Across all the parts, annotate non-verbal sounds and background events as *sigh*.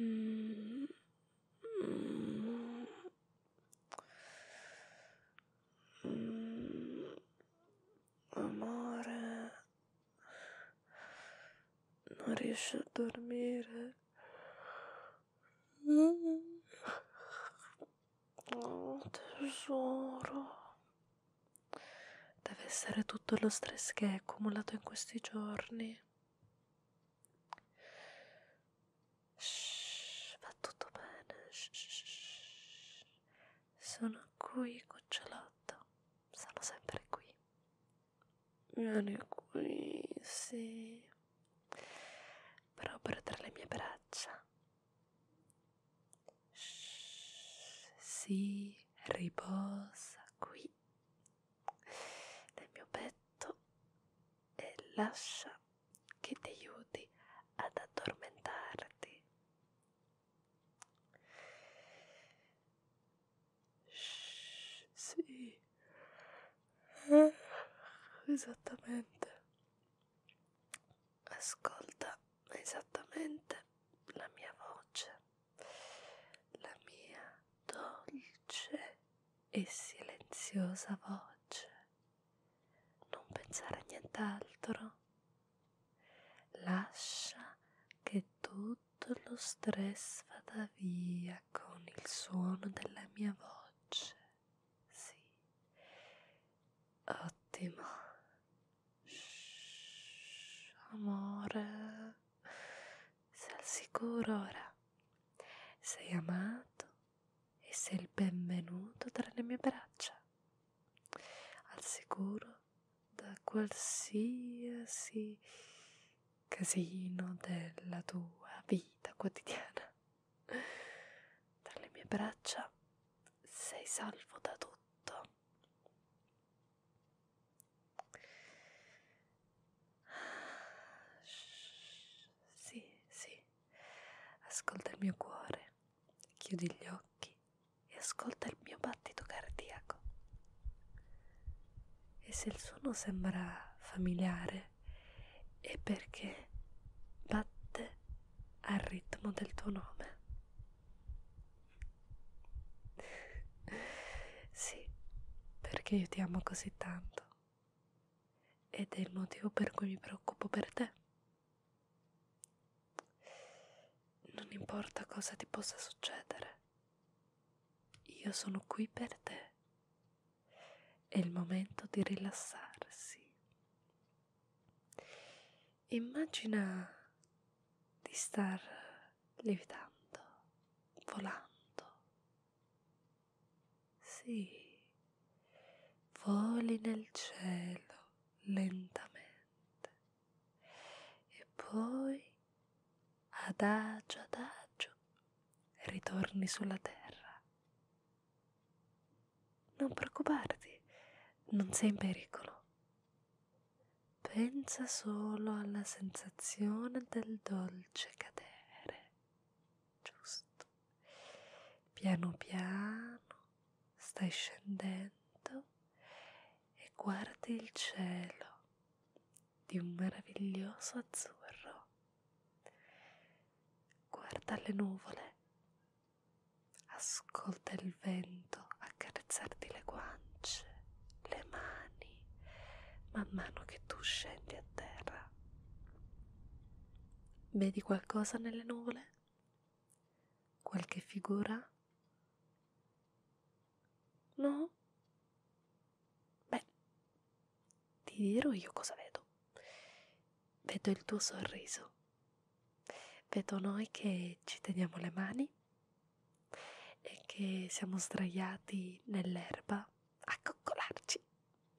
Mm. Amore, non riesci a dormire. Mm. Oh, tesoro. Deve essere tutto lo stress che hai accumulato in questi giorni. Shh, va tutto bene. Shh, shh. Sono qui, cucciolotta. Sono sempre qui vieni qui, sì, proprio tra le mie braccia. Shh, sì, riposa qui nel mio petto e lascia che ti aiuti ad addormentarti. Sì, eh, esattamente. Ascolta esattamente la mia voce, la mia dolce e silenziosa voce. Non pensare a nient'altro. Lascia che tutto tutto lo stress vada via con il suono della mia voce. Sì. Ottimo. Shh, amore. Sei al sicuro ora. Sei amato e sei il benvenuto tra le mie braccia. Al sicuro da qualsiasi casino della tua vita quotidiana. Dalle mie braccia sei salvo da tutto. Sì, sì, ascolta il mio cuore, chiudi gli occhi e ascolta il mio battito cardiaco. E se il suono sembra familiare è perché batte al ritmo del tuo nome. sì, perché io ti amo così tanto. Ed è il motivo per cui mi preoccupo per te. Non importa cosa ti possa succedere. Io sono qui per te. È il momento di rilassarsi. Immagina di star lievitando, volando. Sì, voli nel cielo lentamente e poi adagio adagio ritorni sulla terra. Non preoccuparti, non sei in pericolo. Pensa solo alla sensazione del dolce cadere. Giusto. Piano piano stai scendendo e guardi il cielo di un meraviglioso azzurro. Guarda le nuvole, ascolta il vento accarezzarti le guance, le mani, man mano che tu scendi a terra. Vedi qualcosa nelle nuvole? Qualche figura? No? Beh, ti dirò io cosa vedo. Vedo il tuo sorriso. Vedo noi che ci teniamo le mani e che siamo sdraiati nell'erba a coccolarci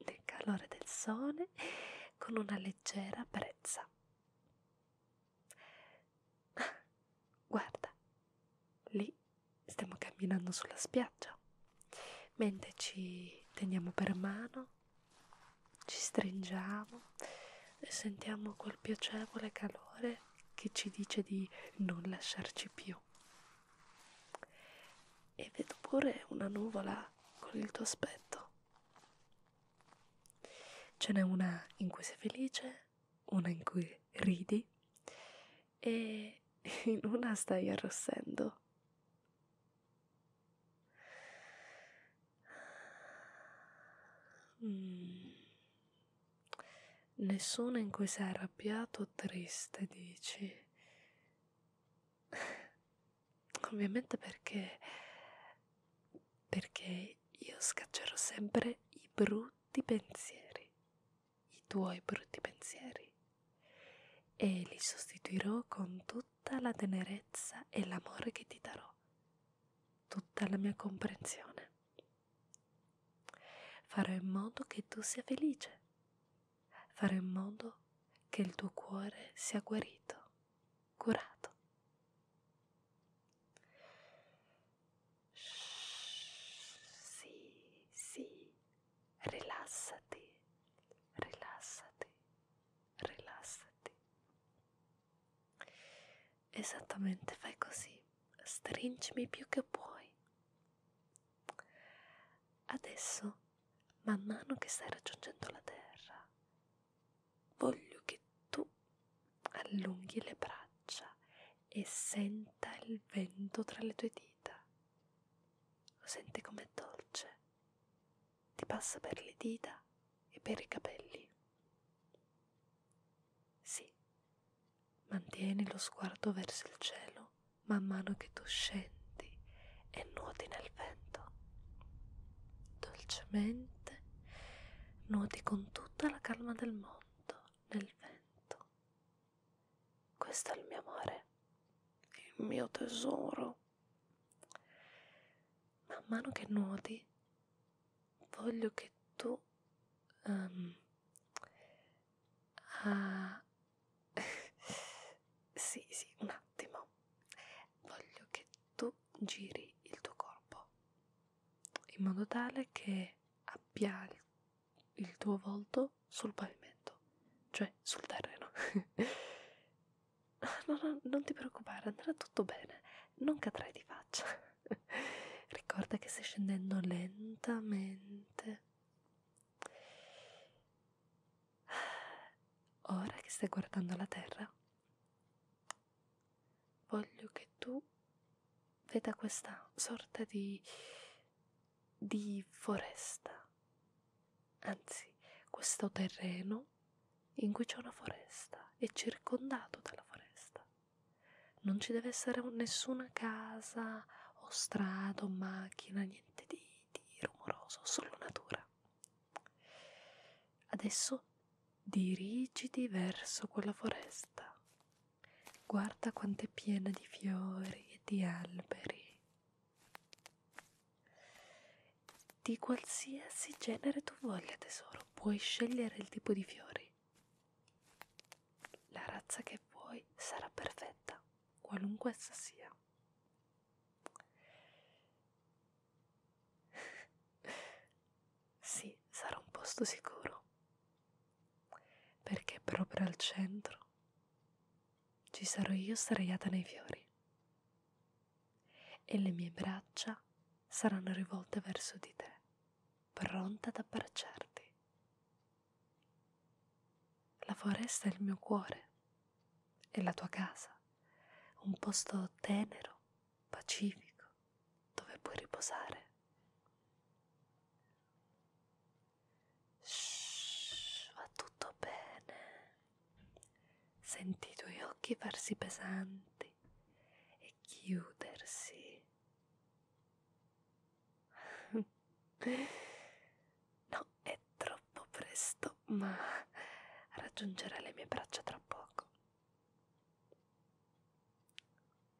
nel calore del sole con una leggera brezza. *laughs* Guarda, lì stiamo camminando sulla spiaggia, mentre ci teniamo per mano, ci stringiamo e sentiamo quel piacevole calore che ci dice di non lasciarci più. E vedo pure una nuvola con il tuo aspetto. Ce n'è una in cui sei felice una in cui ridi e *laughs* in una stai arrossendo. Mm. Nessuna in cui sei arrabbiato o triste, dici? *laughs* Ovviamente perché perché io scaccerò sempre i brutti pensieri, i tuoi brutti pensieri, e li sostituirò con tutta la tenerezza e l'amore che ti darò, tutta la mia comprensione. Farò in modo che tu sia felice, farò in modo che il tuo cuore sia guarito, curato. Sì, sì, rilassati, rilassati, rilassati. Esattamente, fai così, stringimi più che puoi. Adesso, man mano che stai raggiungendo la terra, Voglio che tu allunghi le braccia e senta il vento tra le tue dita. Lo senti com'è dolce. Ti passa per le dita e per i capelli. Sì, mantieni lo sguardo verso il cielo man mano che tu scendi e nuoti nel vento dolcemente nuoti con tutta la calma del mondo nel vento. Questo è il mio amore, il mio tesoro. Man mano che nuoti, voglio che tu um, ah, *laughs* sì, sì, un attimo. Voglio che tu giri il tuo corpo in modo tale che abbia il tuo volto sul pavimento, cioè sul terreno. *laughs* no, no, non ti preoccupare, andrà tutto bene, non cadrai di faccia. *laughs* Ricorda che stai scendendo lentamente. Ora che stai guardando la terra, voglio che tu veda questa sorta di, di foresta, anzi questo terreno in cui c'è una foresta, è circondato dalla foresta. Non ci deve essere nessuna casa o strada o macchina, niente di, di rumoroso, solo natura. Adesso dirigiti verso quella foresta. Guarda quanto è piena di fiori e di alberi. Di qualsiasi genere tu voglia, tesoro, puoi scegliere il tipo di fiori. La razza che vuoi sarà perfetta, qualunque essa sia. *laughs* sì, sarà un posto sicuro, perché proprio al centro ci sarò io sdraiata nei fiori e le mie braccia saranno rivolte verso di te, pronta ad abbracciarti. La foresta è il mio cuore è la tua casa, un posto tenero, pacifico, dove puoi riposare. Shhh, va tutto bene. Senti i tuoi occhi farsi pesanti e chiudersi. *laughs* No, è troppo presto, ma raggiungerà le mie braccia tra poco.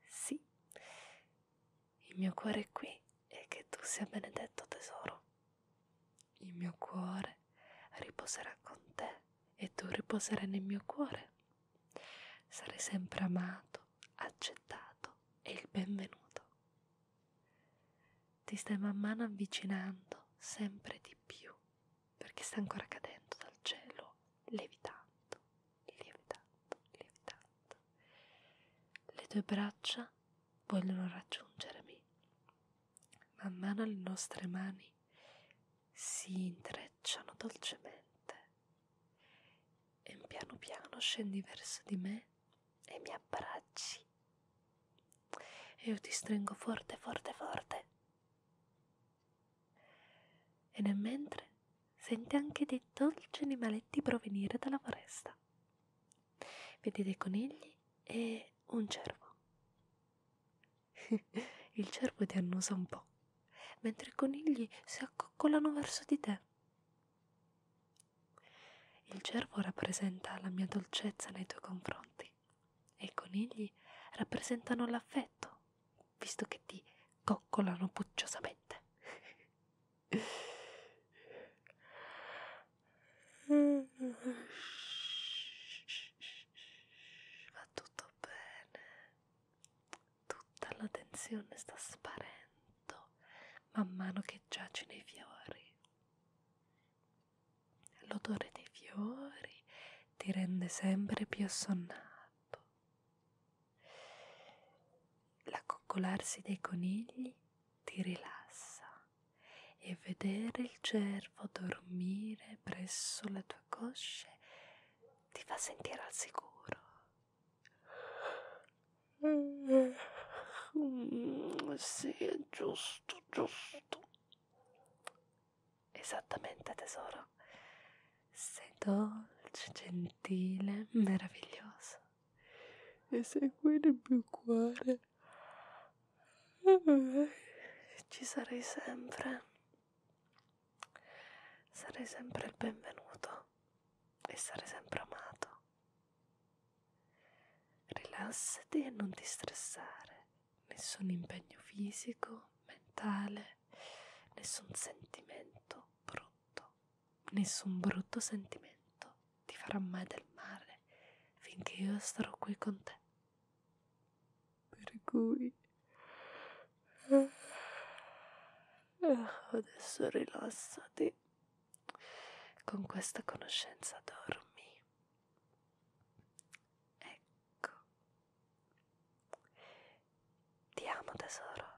Sì, il mio cuore è qui e che tu sia benedetto tesoro. Il mio cuore riposerà con te e tu riposerai nel mio cuore. Sarai sempre amato, accettato e il benvenuto ti stai man mano avvicinando sempre di più perché sta ancora cadendo dal cielo, lievitando, lievitando, lievitando. Le tue braccia vogliono raggiungermi. Man mano le nostre mani si intrecciano dolcemente e piano piano scendi verso di me e mi abbracci e io ti stringo forte forte forte e nel mentre senti anche dei dolci animaletti provenire dalla foresta vedi dei conigli e un cervo *laughs* il cervo ti annusa un po' mentre i conigli si accoccolano verso di te il cervo rappresenta la mia dolcezza nei tuoi confronti e i conigli rappresentano l'affetto, visto che ti coccolano pucciosamente. *laughs* Va tutto bene, tutta la tensione sta sparendo sotto man mano che giaci nei fiori. L'odore dei fiori ti rende sempre più assonnato. L'accoccolarsi dei conigli ti rilassa e vedere il cervo dormire presso le tue cosce ti fa sentire al sicuro. Mm, sì, è giusto, giusto. Esattamente, tesoro. Sei dolce, gentile, meraviglioso. E segui nel mio cuore. Ci sarei sempre. Sarei sempre il benvenuto essere sempre amato. Rilassati e non ti stressare, nessun impegno fisico, mentale, nessun sentimento brutto, nessun brutto sentimento ti farà mai del male finché io sarò qui con te. Per cui eh, adesso rilassati. Con questa conoscenza dormi. Ecco. Ti amo tesoro.